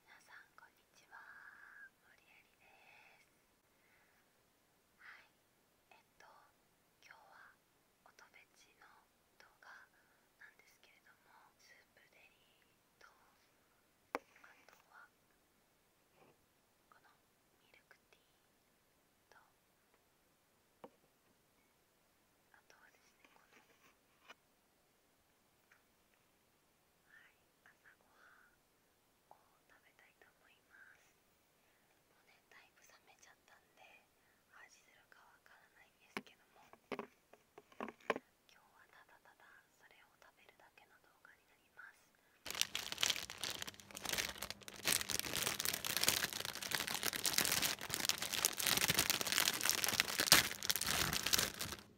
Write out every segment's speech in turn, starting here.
皆さんこんにちは森えりですはいえっと今日は音フェチの動画なんですけれどもスープデリとあとはこのミルクティーとあとはですねこのはい、朝ごはんを食べたいと思いますもうね、だいぶ冷めちゃったんで味するかわからないんですけども今日はただただそれを食べるだけの動画になりますはい、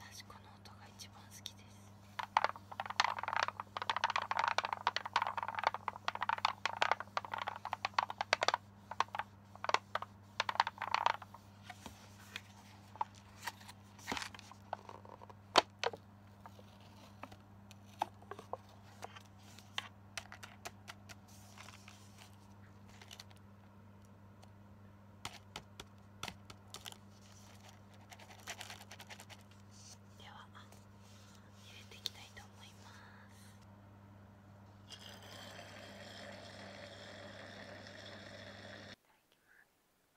私この音が一番好きです。では入れていきたいと思います。ます。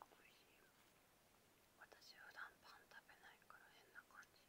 おいしい私普段パン食べないから変な感じ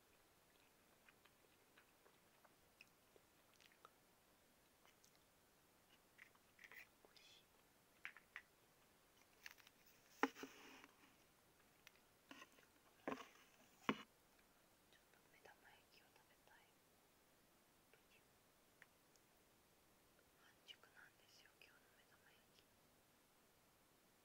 ちょっと目玉焼きを食べたい半熟なんですよ今日の目玉焼き。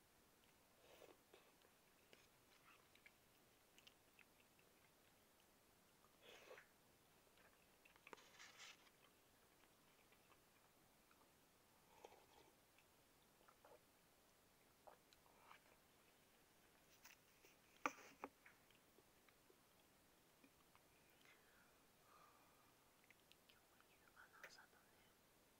今日も夕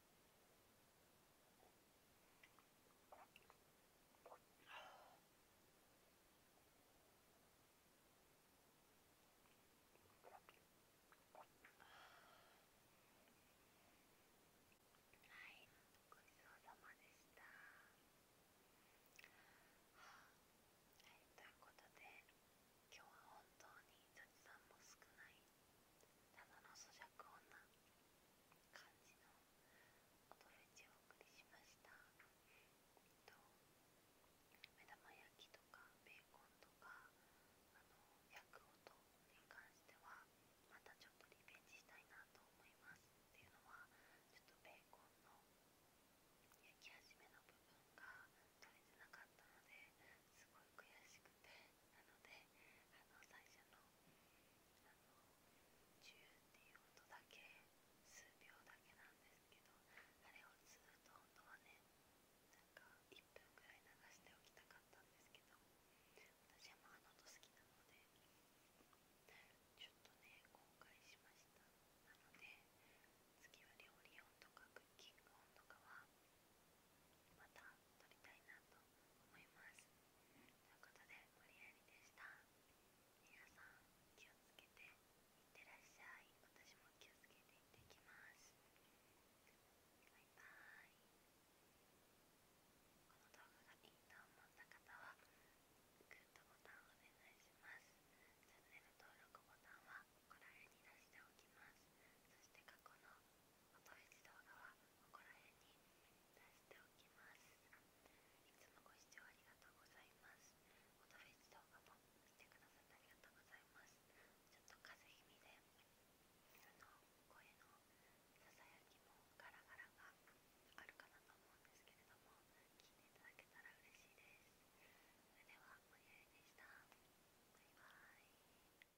はい、ごちそうさまでした。はい、ということで今日は本当に雑談も少ないただの咀嚼音な感じの音フェをお送りしました目玉焼きとかベーコンとかあの焼く音に関してはまたちょっとリベンジしたいなと思いますっていうのはちょっとベーコンの焼き始めの部分が取れてなかったのですごい悔しくてなのであの最初の「あのチュっていう音だけ数秒だけなんですけどあれをずっと本当はねなんか1分くらい流しておきたかったんですけど私はまああの音好きなのでちょっとね後悔しましたなので次は料理音とかクッキング音とかは。また撮りたいなと思いますということで無理やりでした皆さん気をつけていってらっしゃい私も気をつけていってきますバイバイこの動画がいいと思った方はグッドボタンお願いしますチャンネル登録ボタンはここら辺に出しておきますそして過去の音フェス動画はここら辺に出しておきますいつもご視聴ありがとうございます音フェス動画も見てくださってありがとうございますちょっと風邪気味でその声のささやきもガラガラがあるかなと思うんですけれども聞いていただけたら嬉しいですそれでは、おやりでした。バイバイ。